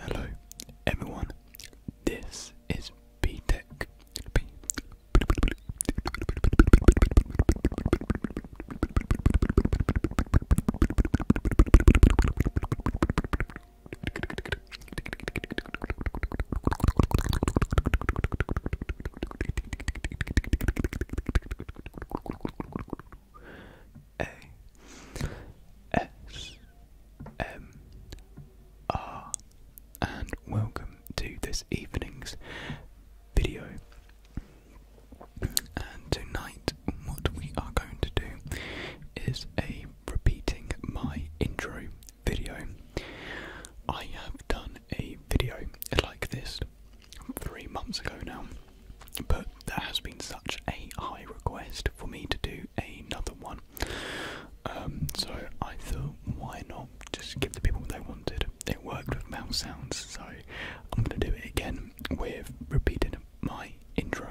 Hello everyone, this is B Tech. A S M R and welcome to this evening's video. And tonight, what we are going to do is a repeating my intro video. I have done a video like this three months ago now, but there has been such a high request for me to do another one. Um, so I thought, why not just give the people what they wanted? It worked with mouse sounds, so I'm going to do it again with repeating my intro.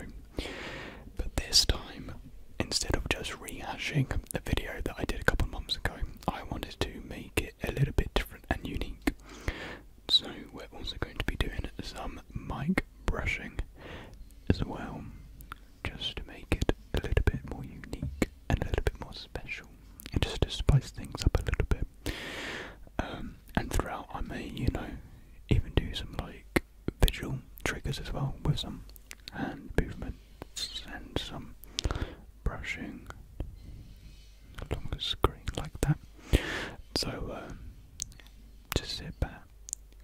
But this time, instead of just rehashing the video that I did a couple of months ago, I wanted to make it a little bit different and unique. So we're also going to be doing some mic brushing as well, just to make it a little bit more unique and a little bit more special, and just to spice things up a little bit. Um, and throughout, I may, you know, even do some like visual triggers as well with some hand movements and some brushing along the screen like that. So, um, to sit back,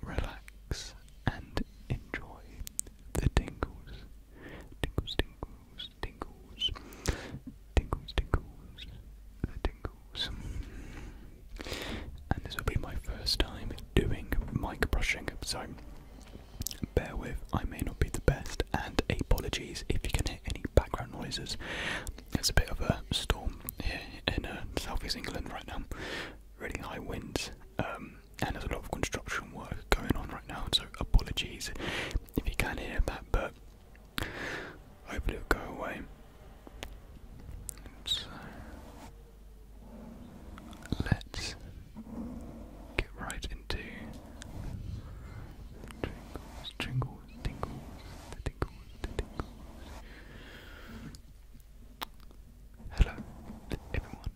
relax, and enjoy the tingles. Tingles, tingles, tingles. Tingles, tingles, the tingles. And this will be my first time doing mic brushing, so bear with, I may not be the best, and apologies if you can hear any background noises. There's a bit of a storm here in uh, southeast England right now. Really high winds, um, and there's a lot of construction work going on right now. So apologies if you can hear that, but hopefully it'll go away. So let's get right into jingles, jingles tingles, tingles, Hello, everyone.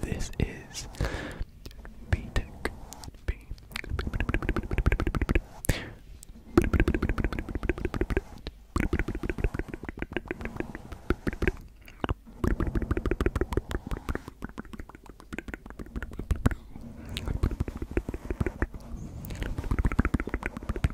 This is B Tech.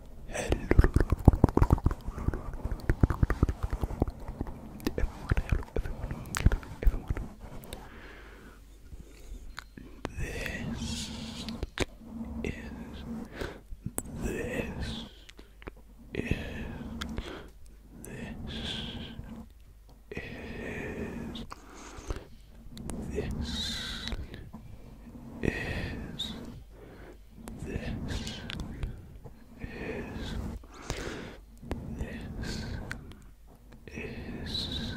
Hello everyone, hello everyone, hello everyone. This is this is this is this is this is this is this is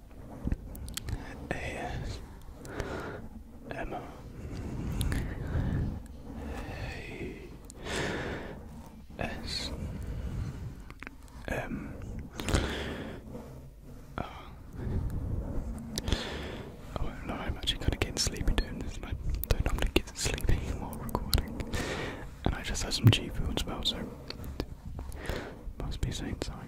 Emma. Hey. Oh, I not lie, I'm actually kind of getting sleepy doing this, and I don't normally get sleepy while recording. And I just had some G food as well, so must be saying something.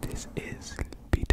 This is beat.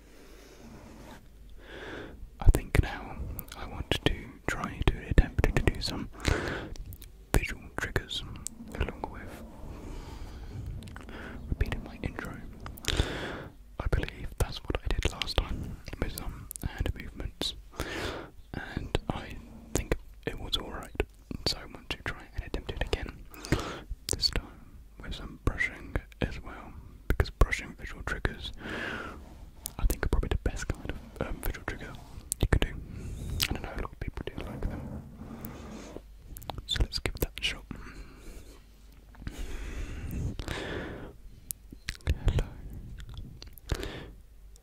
I think now I want to try to attempt to do some visual triggers along with repeating my intro. I believe that's what I did last time with some hand movements, and I think it was alright. So I want to try and attempt it again this time with some brushing as well, because brushing visual triggers, I think, are probably the best kind of um, visual trigger you can do. I don't know, a lot of people do like them. So let's give that a shot. Hello.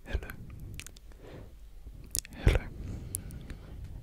Hello. Hello.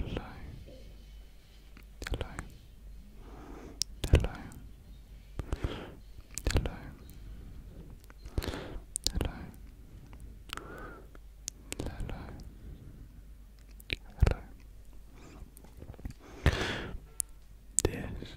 Hello. Hello. Hello. Hello. Hello. Hello. Hello. This is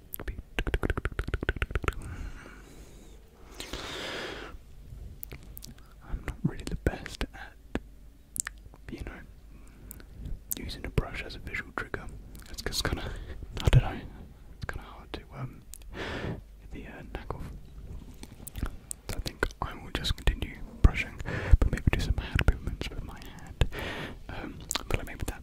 I'm not really the best at, you know, using a brush as a visual trigger. It's kind of, I don't know, it's kind of hard to um, the uh, knack off. I think I will just continue brushing, but maybe do some hand movements with my hand. Um, but like maybe that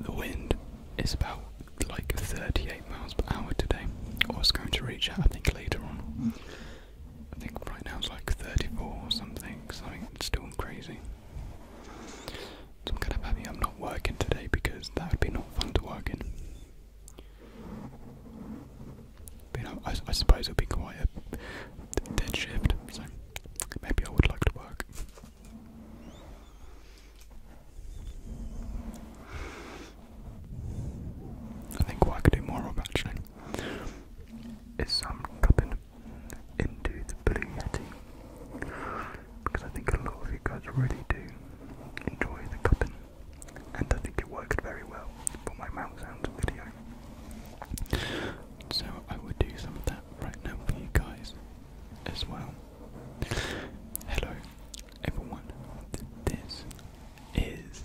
The wind is about like 38 miles per hour today, or it's going to reach out, I think, later on. I think right now it's like 34 or something, something still crazy. So I'm kind of happy I'm not working today because that would be not fun to work in. But I, suppose it'll be quite dead shift, so maybe I would like to work. I think what I could do more of actually some um, cupping into the Blue Yeti because I think a lot of you guys really do enjoy the cupping and I think it worked very well for my mouth sounds video. So I will do some of that right now for you guys as well. Hello everyone, this is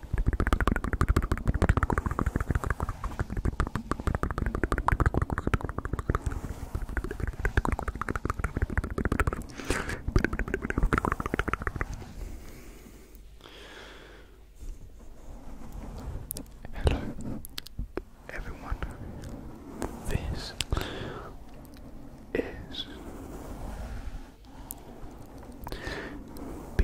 Hello, everyone. This is B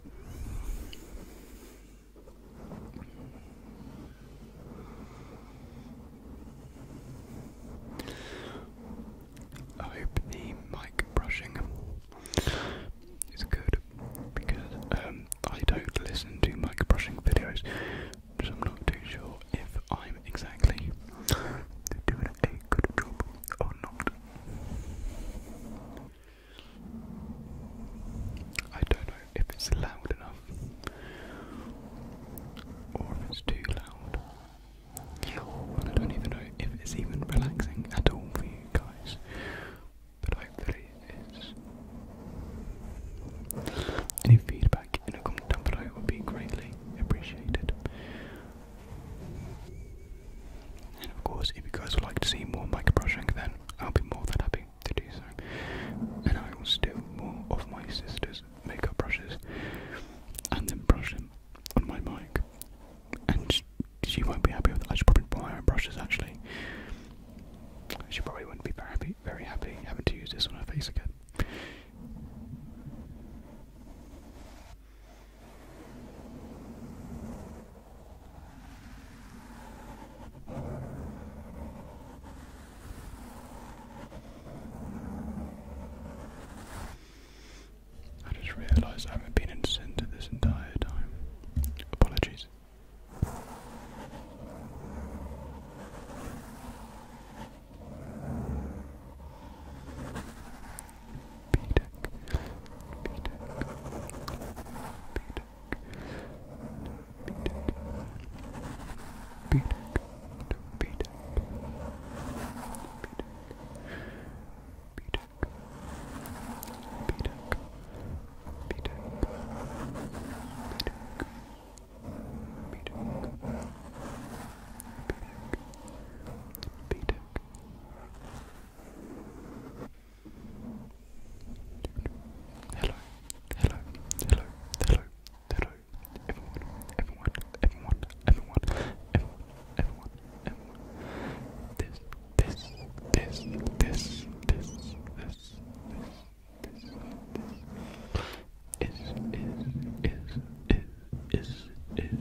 I hope the mic brushing is good because um, I don't listen to mic brushing videos, so I'm not too sure if I'm exactly doing a good job or not. I don't know if it's loud enough or if it's too loud. And I don't even know if it's even relaxing at all for you guys. But hopefully it is. Any feedback in a comment down below would be greatly appreciated. And of course, if you guys would like to see more mic brushing, then I'll be more than happy to do so. And I will steal more of my sister's makeup brushes and then brush them on my mic. And she, won't be happy with that. I should probably buy her brushes actually. She probably wouldn't be very happy, very happy having to use this on her face again. I just realised I haven't been in centre this entire time. Apologies. Beat Hello, hello, hello, hello, hello, everyone, everyone, everyone, everyone, everyone, everyone, everyone. This, this, this, this, this, this, this, this, this. Is, is, is, is, is, is, is.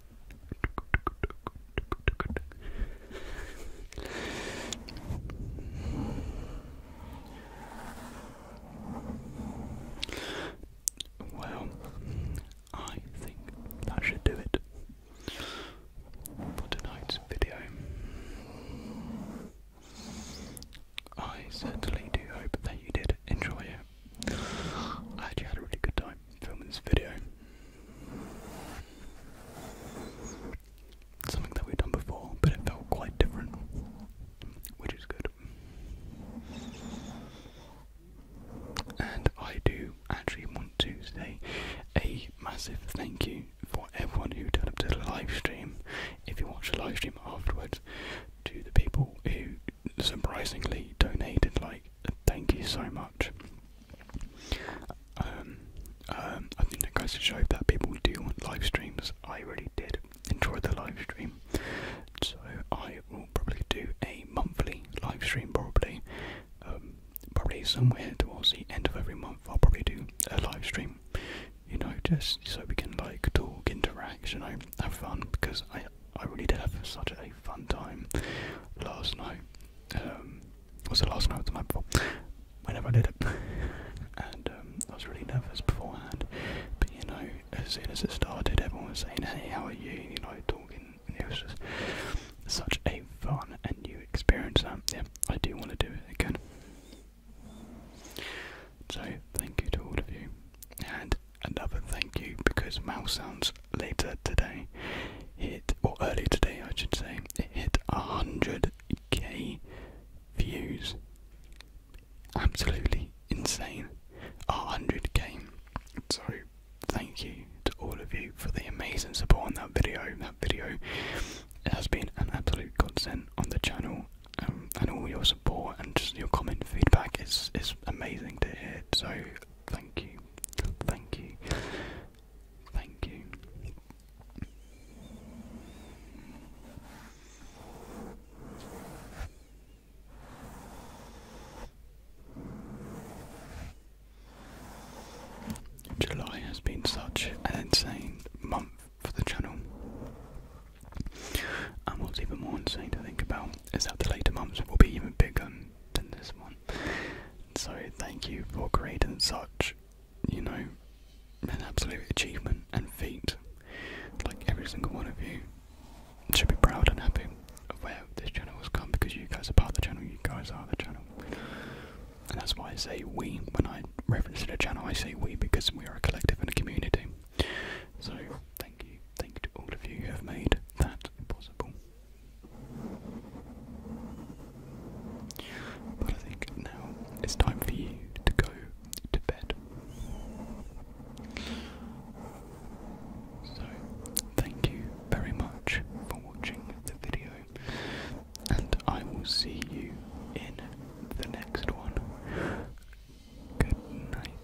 Well, I think that should do it for tonight's video. I certainly do hope that you did enjoy it. I actually had a really good time filming this video. Something that we've done before, but it felt quite different, which is good. And I do actually want to say a massive thank you for everyone who turned up to the live stream. If you watched the live stream afterwards, to the people who surprisingly donated, like, thank you so much. Um, um, I think that goes to show that people do want live streams. I really did enjoy the live stream, so I will probably do a monthly live stream. Probably, um, probably somewhere towards the end of every month, I'll probably do a live stream. You know, just so we can like talk, interact, you have fun. Because I, I really did have such a fun time last night. Um, was the last night? The night before. Whenever I did it, and um, I was really nervous beforehand. But you know, as soon as it started, everyone was saying, "Hey, how are you?" And, you know, talking. And it was just such a fun and new experience. Um, yeah, I do want to do it again. So, thank you to all of you, and another thank you because Mouse Sounds later today hit, or early today I should say, it hit 100k views. Absolutely insane. 100k. So thank you to all of you for the amazing support on that video. That video has been an absolute godsend on the channel. Um, and all your support and just your comment feedback is, is amazing to hear. So Thank you. Thank you. Thank you. July has been such an insane month for the channel. And what's even more insane to think about is that the later months will be even bigger than this one. So thank you for creating such, you know, an absolute achievement and feat. Like every single one of you should be proud and happy of where this channel has come because you guys are part of the channel, you guys are the channel. And that's why I say we when I reference to the channel I say we because we are a collective and a community. So thank you, thank you to all of you who have made that possible. But I think now it's time for you to go to bed. So, thank you very much for watching the video, and I will see you in the next one. Good night.